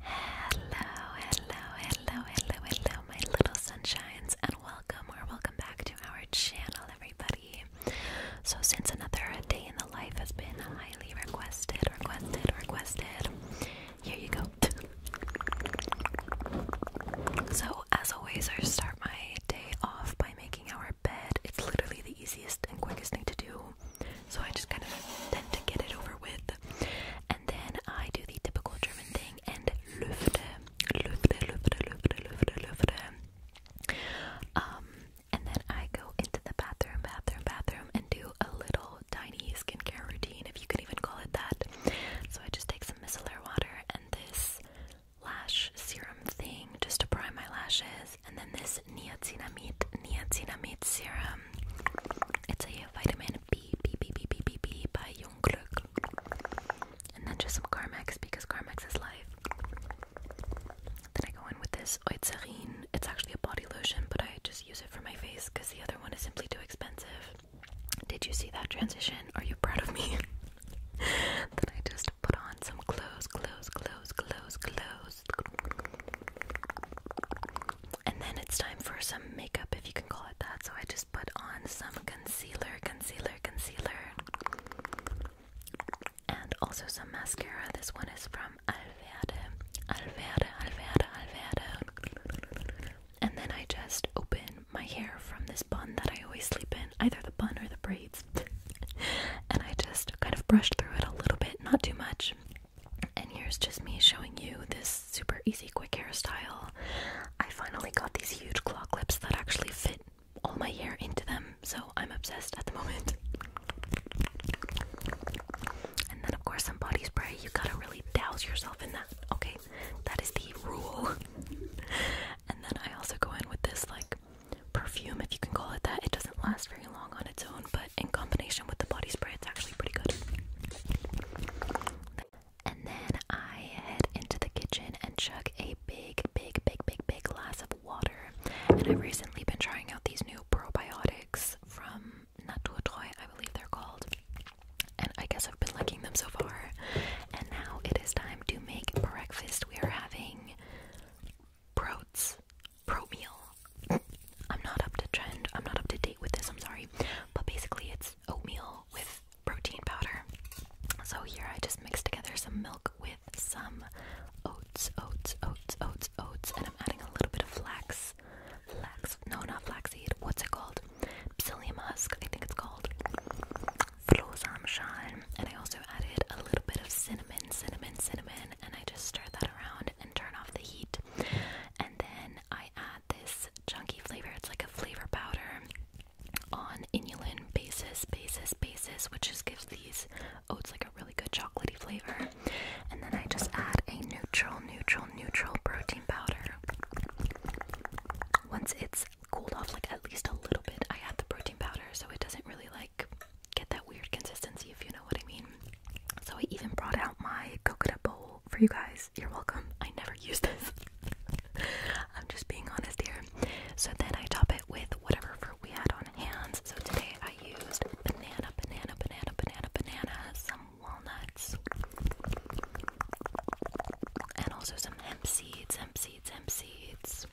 Hello, hello, hello, hello, hello, my little sunshines, and welcome or welcome back to our channel, everybody. So, since another day in the life has been highly requested, requested, requested, here you go. so, as always, I start my day off by making our bed. It's literally the easiest and quickest thing to do so I just kind of tend to get it over with. And then I do the typical German thing and lüfte, lüfte, lüfte, lüfte, lüfte, lüfte. Um, and then I go into the bathroom, bathroom, bathroom, and do a little tiny skincare routine, if you can even call it that. So I just take some micellar water and this lash serum thing just to prime my lashes, and then this niacinamide niacinamide serum it's a vitamin B, B, B, B, B, B, B by Jungglück. And then just some Carmex because Carmex is life. Then I go in with this Oizerin. It's actually a body lotion, but I just use it for my face because the other one is simply too expensive. Did you see that transition? Are you proud of me? then I just put on some clothes, clothes, clothes, clothes, clothes and then it's time for some makeup, if you can call it that. So I just put on some concealer, concealer, concealer, and also some mascara. This one is from Alverde, Alverde, Alverde, Alverde. And then I just open my hair from this bun that I always sleep in, either the bun or the braids. and I just kind of brushed through it a little bit, not too much. And here's just me showing you this super easy, quick hairstyle. I finally got these huge claw clips that actually fit all my hair into them, so I'm obsessed at the moment. And then, of course, some body spray. You gotta really douse yourself in that, okay? That is the rule. and then I also go in with this, like, perfume, if you can call it that. It doesn't last very long on its own, but in combination with the body spray, it's actually pretty good. And then I head into the kitchen and chug a big, big, big, big, big glass of water. And I've recently been trying out these new probiotics from Toy, I believe they're called. And I guess I've been liking them so far. And now it is time to make breakfast. We are having broats Promeal. I'm not up to trend. I'm not up to date with this. I'm sorry, but basically it's oatmeal with protein powder. So here I just mixed together some milk with some oats, oats, oats, oats, oats, and I'm adding a little bit of flax. Flax? No, not flaxseed. What's it called? Psyllium husk. I think it's called. And I also added a little bit of cinnamon, cinnamon, cinnamon, and I just stirred that around turn off the heat. And then I add this chunky flavor. It's like a flavor powder on inulin basis, basis, basis, which just gives these oats like a really good chocolatey flavor. And then I just add a neutral, neutral, neutral protein powder. Once it's cooled off, like at least a little bit, I add the protein powder so it doesn't really like get that weird consistency, if you know what I mean. So I even brought out my coconut bowl for you guys. You're welcome. I never use this. I'm just being honest here. So then I top it with whatever fruit we had on hands. So today I used banana, banana, banana, banana, banana, some walnuts, and also some hemp seeds, hemp seeds, hemp seeds,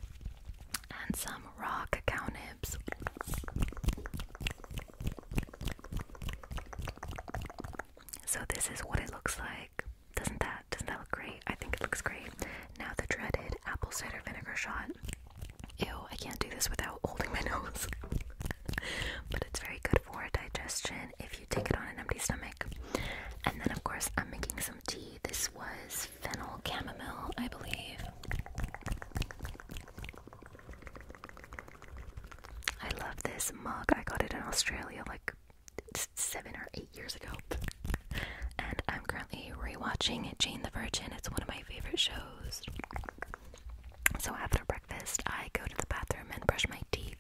and some raw cacao nibs. So this is what it looks like. Doesn't that doesn't that look great? I think it looks great. Now the dreaded apple cider vinegar shot. Ew, I can't do this without holding my nose. but it's very good for digestion if you take it on an empty stomach. And then of course I'm making some tea. This was fennel chamomile, I believe. I love this mug. I got it in Australia like seven or eight years ago. and I'm currently rewatching Jane the Virgin. It's one of my favorite shows. So after breakfast, I go to the bathroom and brush my teeth.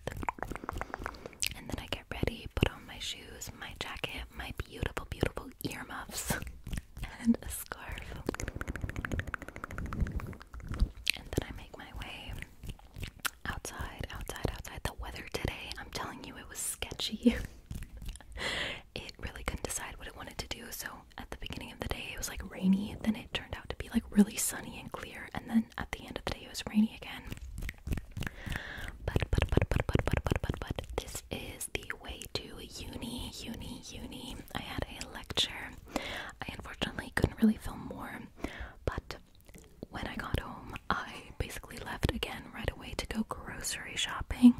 And then I get ready, put on my shoes, my jacket, my beautiful, beautiful little earmuffs and a scarf. And then I make my way outside, outside, outside. The weather today, I'm telling you, it was sketchy. it really couldn't decide what it wanted to do. So at the beginning of the day, it was like rainy. Then it turned out to be like really sunny and clear. And then at the end of the day, it was rainy again. but, but, but, but, but, but, but, but, this is the way to uni, uni, uni. I had a lecture. I unfortunately couldn't really film more, but when I got home, I basically left again right away to go grocery shopping.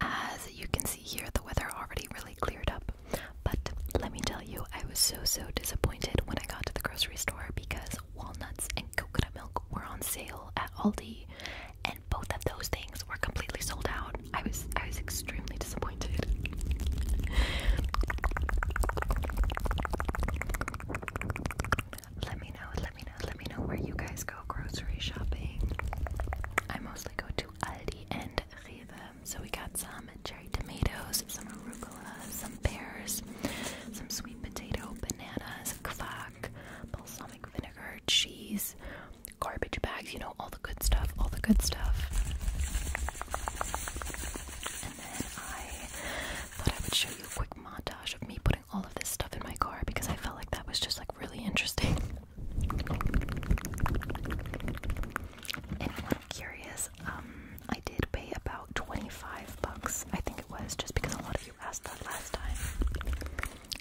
As you can see here, the weather already really cleared up. But let me tell you, I was so so disappointed when I got to the grocery store because walnuts and coconut milk were on sale at Aldi both of those things were completely sold out. I was I was extremely disappointed. let me know, let me know, let me know where you guys go grocery shopping. I mostly go to Aldi and Riva. So we got some cherry tomatoes, some arugula, some pears, some sweet potato, bananas, kvack, balsamic vinegar, cheese, garbage bags, you know, all the good stuff, all the good stuff. And then I thought I would show you a quick montage of me putting all of this stuff in my car because I felt like that was just like really interesting. Anyone curious? Um, I did pay about 25 bucks, I think it was, just because a lot of you asked that last time.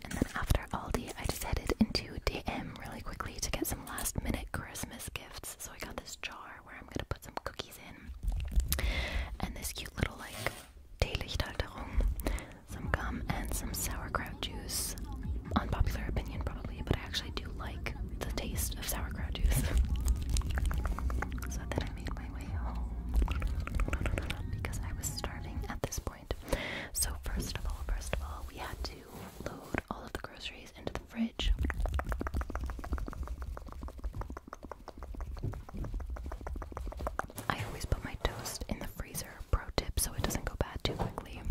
And then after Aldi, I just headed into DM really quickly to get some last minute Christmas gifts. So I got this jar where I'm gonna put some cookies in, and this cute little like Teelichthalterung, some gum, and some sauerkraut juice. Unpopular opinion, probably, but I actually do like the taste of sauerkraut juice. so then I made my way home because I was starving at this so first of all, first of all, we had to load all of the groceries into the fridge. I always put my toast in the freezer, pro tip, so it doesn't go bad too quickly.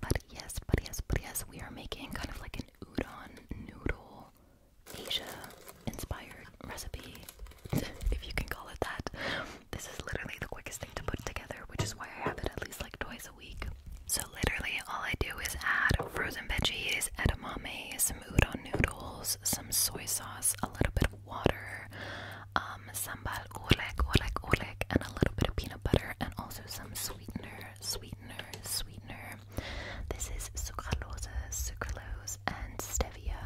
But yes, but yes, but yes, we are making kind of like an udon noodle Asia-inspired recipe, if you can call it that. This is literally the quickest thing to put together, which is why I have it at least like twice a week. So literally all I do is add frozen veggies, edamame, some udon noodles, some soy sauce, a little bit of water, um, sambal oleg, oleg, oleg, and a little bit of peanut butter, and also some sweetener, sweetener, sweetener, this is sucralose, sucralose, and stevia.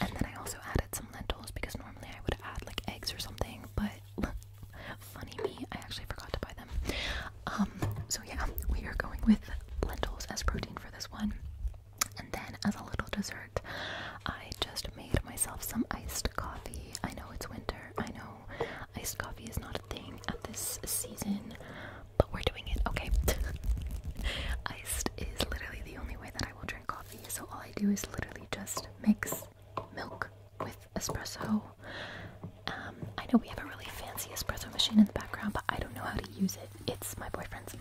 And then I also added some lentils because normally I would add like eggs or something, but funny me, I actually forgot to buy them. Um, so yeah, we are going with lentils as protein for this one. And then as a little dessert, I just made myself some iced coffee. I know it's winter. I know iced coffee is not a thing at this season, but we're doing it, okay? Iced is literally the only way that I will drink coffee, so all I do is literally just mix milk with espresso. Um, I know we have a really fancy espresso machine in the background, but I don't know how to use it. It's my boyfriend's.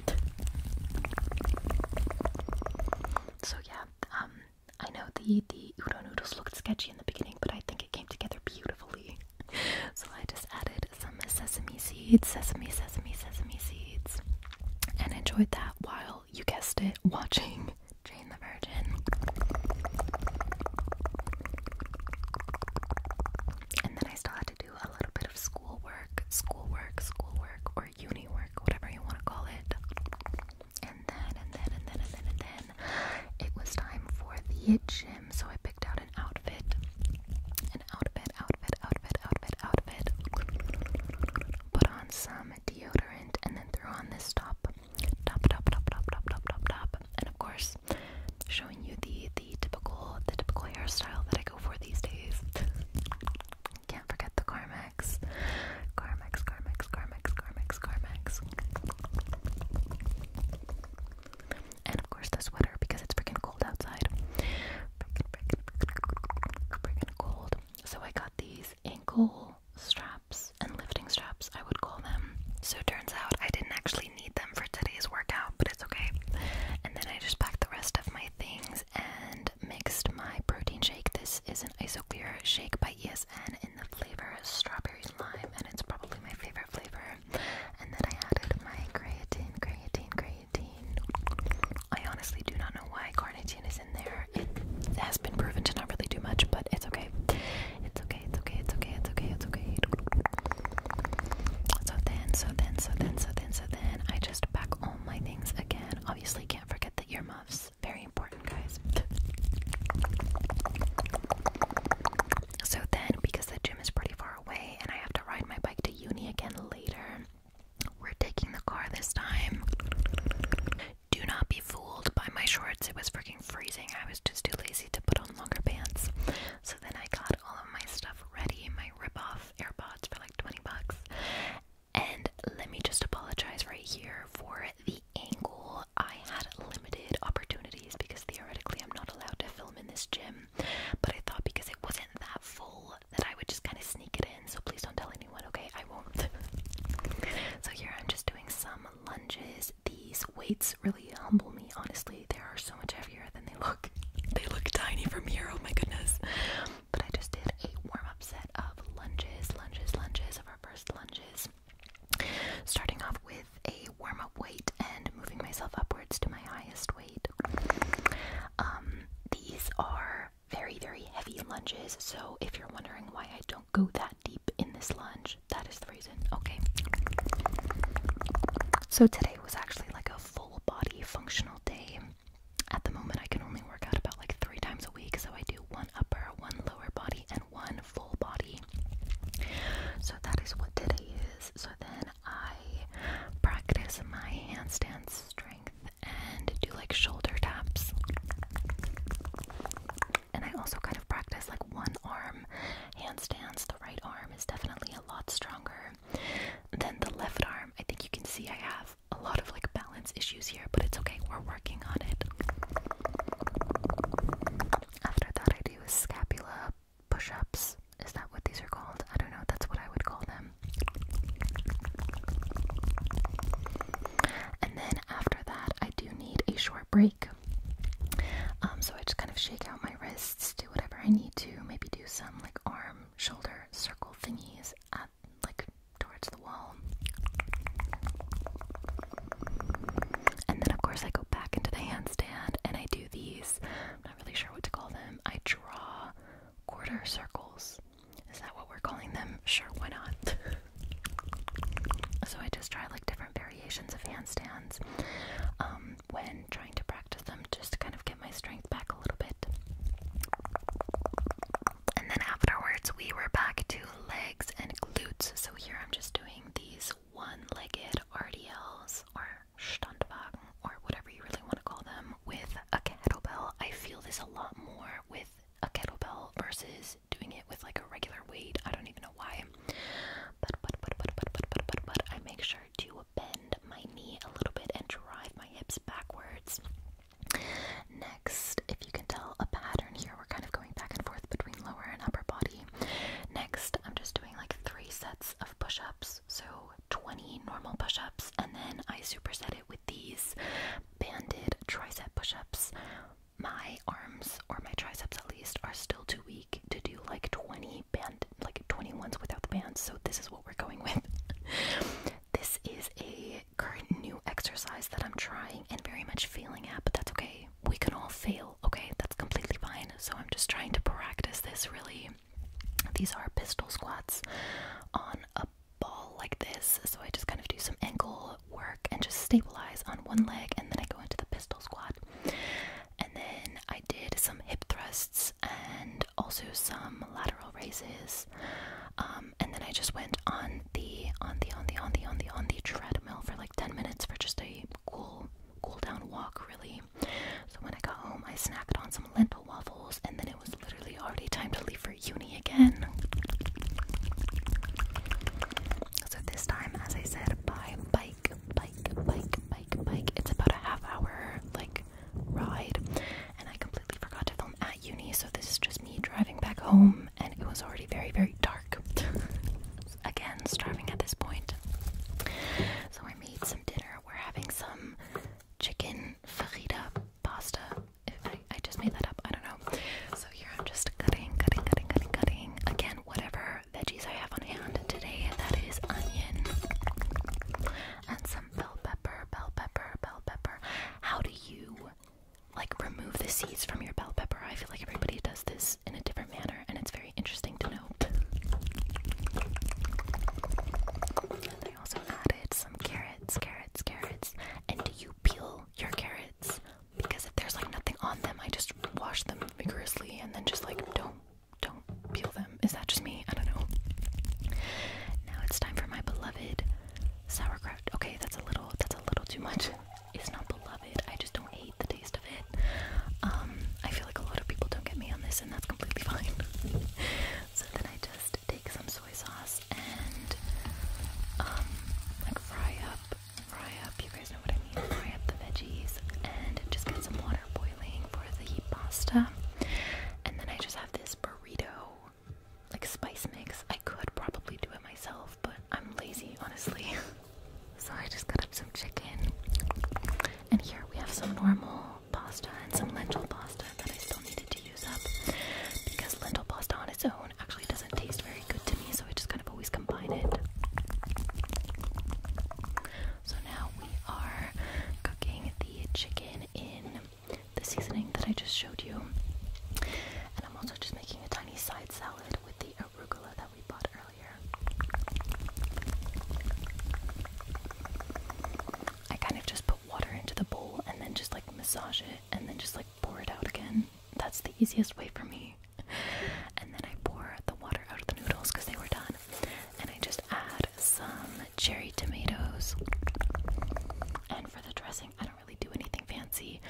So yeah, um, I know the the udon noodles looked sketchy in the beginning, but I think it came together beautifully. so I just added some sesame seeds, sesame, sesame, sesame seeds, and enjoyed that while you guessed it, watching Jane the Virgin. And then I still had to do a little bit of schoolwork, schoolwork, schoolwork, or uni work, whatever you want to call it. And then, and then, and then, and then, and then, it was time for the gym so I picked out an outfit. An outfit, outfit, outfit, outfit, outfit. Put on some deodorant and then threw on this top. Top, top, top, top, top, top, top, And of course, showing you the the typical the typical hairstyle that I go for these days. Can't forget the Carmex. Carmex, Carmex, Carmex, Carmex, Carmex and of course the sweater because it's freaking cold outside. Freaking, freaking, freaking, freaking cold. So I got these ankle straps and lifting straps, I would call them. So turns out I didn't actually need them for today's workout, but it's okay. And then I just packed the rest of my things and mixed my protein shake. This is an Isoclear shake by ESN in the flavor strawberry lime, and it's probably my favorite flavor and then I added my creatine, creatine, creatine. I honestly do not know why carnitine is in there. It has been proven to not really do much, but it's okay. It's okay, it's okay, it's okay, it's okay, it's okay. So then, so then, so then, so then, so then, I just pack all my things again. Obviously, can't forget the earmuffs. Very important, guys. So then, because the gym is pretty far far away and I have to ride my bike to uni again later. We're taking the car this time. Do not be fooled by my shorts. It was freaking freezing. I was just too lazy to put on longer pants. So then I got all of my stuff ready, my rip-off AirPods for like 20 bucks. And let me just apologize right here for the angle. I had limited opportunities because theoretically I'm not allowed to film in this gym, but I thought because it wasn't that full that I would just kind of sneak it in. So please don't tell anyone, okay? I won't. so here I'm just doing some lunges. These weights really humble me, honestly. They are so much heavier than they look. They look tiny from here, oh my goodness. But I just did a warm up set of lunges, lunges, lunges of our first lunges. Starting off with with a warm up weight and moving myself upwards to my highest weight. Um, these are very, very heavy lunges, so if you're wondering why I don't go that deep in this lunge, that is the reason. Okay. So today was actually like a full body functional day. At the moment, I can only work out about like three times a week, so I do one upper, one lower body, and one full body. So that is what today is. So then I practice my handstand strength and do like shoulder taps. And I also kind of practice like one arm handstands. The right arm is definitely a lot stronger than the left arm. I think you can see I have a lot of like balance issues here, but it's okay. We're working on it. After that, I do a scapula push ups. Is that what these are called? I don't know. That's what I would call them. And then after that, I do need a short break. Um, so I just kind of shake out my wrists, do whatever I need to, maybe do some like arm, shoulder circle thingies at like towards the wall. And then, of course, I go back into the hands handstand and I do these. I'm not really sure what to call them. I draw quarter circles. Is that what we're calling them? Sure, why not? so I just try like different variations of handstands um, when trying to practice them just to kind of get my strength back a little bit. And then afterwards, we were back to legs and glutes. So here I'm just doing these one-legged RDLs or Standwagen or whatever you really want to call them with a kettlebell. I feel this a lot more with a kettlebell versus doing it with like a regular weight. I don't even know why. but but but but but but but, but I make sure to bend my knee a little bit and drive my hips backwards. Next, if you can tell a pattern here, we're kind of going back and forth between lower and upper body. Next, I'm just doing like three sets of push ups, so 20 normal push ups, and then I superset it with these banded tricep push ups. My arms, or my triceps at least, are still too weak to do like 20 band, like 20 ones without the bands, so this is what we're going with. this is a current new exercise that I'm trying and very much failing at, but that's okay. We can all fail Okay, that's completely fine. So I'm just trying to practice this really. These are pistol squats on a ball like this. So I just kind of do some ankle work and just stabilize on one leg and then I go into the pistol squat. And then I did some hip thrusts and also some lateral raises. Um, and then I just went on the on the on the on the on the on the treadmill for like 10 minutes for just a cool cool cool down walk really. So when I got home, I snacked on some lentil waffles, and then it was literally already time to leave for uni again. So this time, as I said, by bike, bike, bike, bike, bike. It's about a half hour like ride, and I completely forgot to film at uni. So this is just me driving back home, and it was already very, very dark. again starving at this point. So I made some dinner. We're having some chicken farida pasta. I, I just made that up. I don't know. So here I'm just cutting, cutting, cutting, cutting, cutting. Again, whatever veggies I have on hand today. That is onion and some bell pepper, bell pepper, bell pepper. How do you like remove the seeds from your bell pepper? I feel like everybody does does this in a different manner, and it's very interesting to note. And also added some carrots, carrots, carrots. And do you peel your carrots? Because if there's like nothing on them, I just wash them vigorously and then just like don't don't peel them. Is that just me? I don't know. Now it's time for my beloved sauerkraut. Okay, that's a little that's a little too much is not beloved. I just don't hate the taste of it. Um, I feel like a lot of people don't get me on this, and that's completely fine. so then I just take some soy sauce and um, like fry up, fry up. You guys know what I mean. Fry up the veggies and just get some water boiling for the pasta. And then I just have this burrito like spice mix. I could probably do it myself, but I'm lazy, honestly. So I just cut up some chicken. And here we have some normal pasta and some lentil pasta that I still needed to use up because lentil pasta on its own actually doesn't taste very good to me, so I just kind of always combine it. So now we are cooking the chicken in the seasoning that I just showed you. And I'm also just making a tiny side salad with the arugula that we bought earlier. I kind of just put water into the bowl and then just like massage it and then just like pour it out again. That's the easiest way for me. And then I pour the water out of the noodles because they were done. And I just add some cherry tomatoes. And for the dressing, I don't really do anything fancy.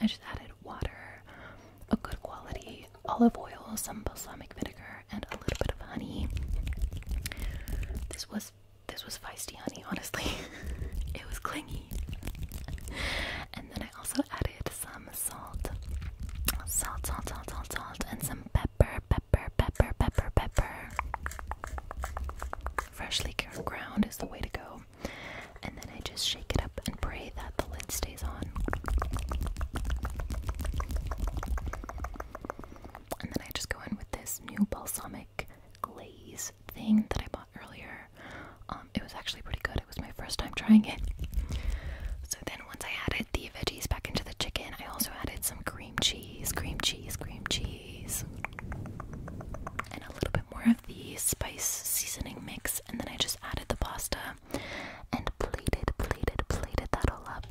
I just added water, a good quality olive oil, some balsamic vinegar, and a little bit of honey. This was this was feisty honey, honestly. it was clingy. And then I also added some salt. Salt, salt, salt, salt, salt, and some pepper, pepper, pepper, pepper, pepper. Freshly ground is the way to go and then I just shake it up and pray that the lid stays on. And then I just go in with this new balsamic glaze thing that I bought earlier. Um, it was actually pretty good. It was my first time trying it. So then once I added the veggies back into the chicken, I also added some cream cheese, cream cheese, cream cheese, and a little bit more the spice seasoning mix, and then I just added the pasta and plated, plated, plated that all up.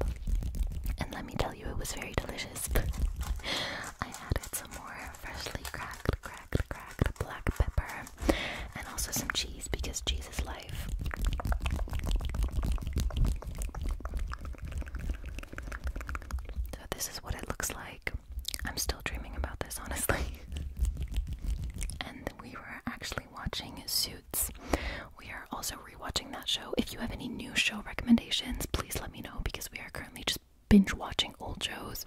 And let me tell you, it was very delicious. I added some more freshly cracked, cracked, cracked black pepper and also some cheese because cheese is life. So, this is what it looks like. I'm still dreaming about this, honestly. and we were actually watching Suits. We are also rewatching that show. If you have any new show recommendations, please let me know because we are currently just binge watching old shows.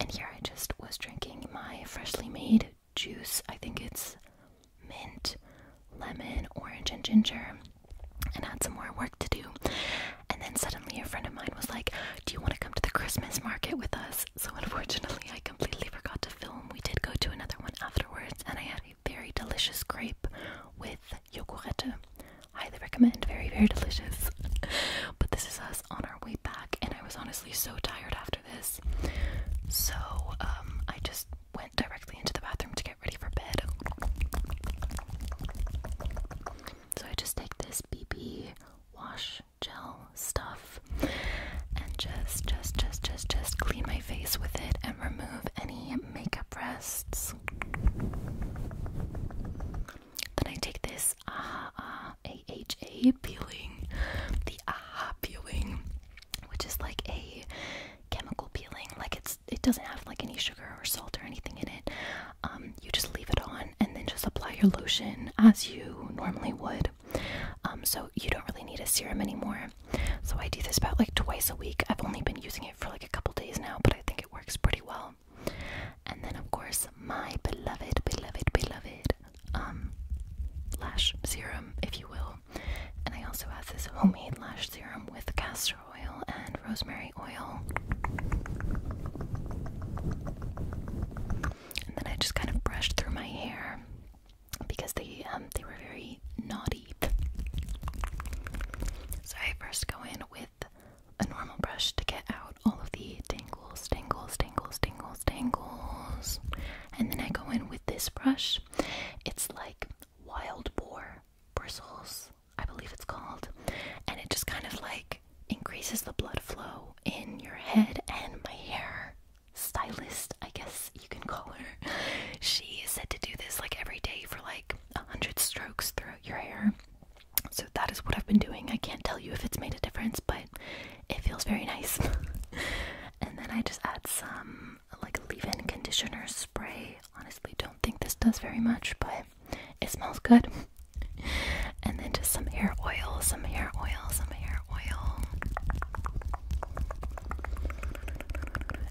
And here I just was drinking my freshly made juice. I think it's mint, lemon, orange, and ginger. And had some more work to do. And then suddenly a friend of mine was like, Do you want to come to the Christmas market with us? so unfortunately, I completely forgot to film. We did go to another one afterwards, and I had a very delicious crepe with yogurt. Highly recommend, very, very delicious. but this is us on our way back, and I was honestly so tired after this. So, um, I just went directly into the bathroom to get ready for bed. So, I just take this BB wash gel stuff and just just just just just clean my face with it and remove any makeup rests. Then I take this AHA uh, AHA peeling, the AHA peeling, which is like a chemical peeling. Like it's it doesn't have like any sugar or salt or anything in it. Um, you just leave it on and then just apply your lotion as you normally would. Um, so you don't really need a serum anymore. So I do this about like twice a week. I've only been using it for like a couple days now, but I think it works pretty well. And then of course my beloved, beloved, beloved um, lash serum, if you will. And I also have this homemade lash serum with castor oil and rosemary oil. And then I just kind of brushed through my hair because they um, they were very knotty. So I first go in with a normal brush to get out all of the tangles, tangles, tangles, tangles, tangles. And then I go in with this brush. It's like wild boar bristles, I believe it's called. And it just kind of like increases the blood flow in your head and my hair stylist, I guess you can call her. She is said to do this like every day for like a hundred strokes throughout your hair. So that is what I've been doing. I can't tell you if it's made a difference, but it feels very nice. and then I just add some like leave-in conditioner spray. Honestly, don't think this does very much, but it smells good. And then just some hair oil, some hair oil, some hair oil.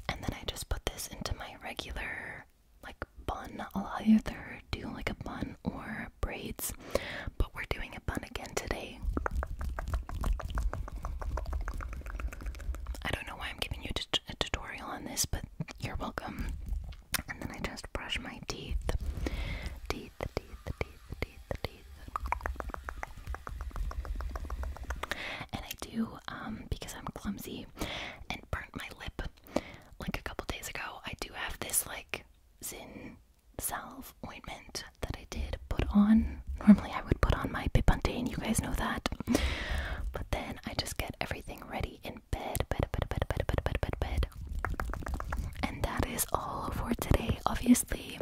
And then I just put this into my regular like bun. I'll either do like a bun or braids, but we're doing a bun again today. I don't know why I'm giving you a tutorial on this, but you're welcome. And then I just brush my teeth. Teeth, teeth, teeth, teeth, teeth. And I do, um, because I'm clumsy and burnt my lip like a couple days ago, I do have this like zinc salve ointment that I did put on. Normally I would put on my Pipantain, you guys know that. But then I just get everything ready in bed, bed, bed, bed, bed, bed, bed, bed, bed. And that is all for today. Obviously,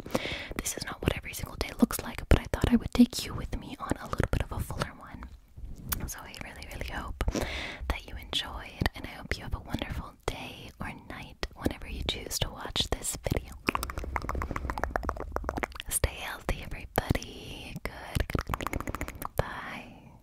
this is not what every single day looks like, but I thought I would take you with me on a little bit of a fuller one. So I really, really hope that you enjoyed, and I hope you have a wonderful day or night whenever you choose to watch this video. Stay healthy, everybody. Good. Bye.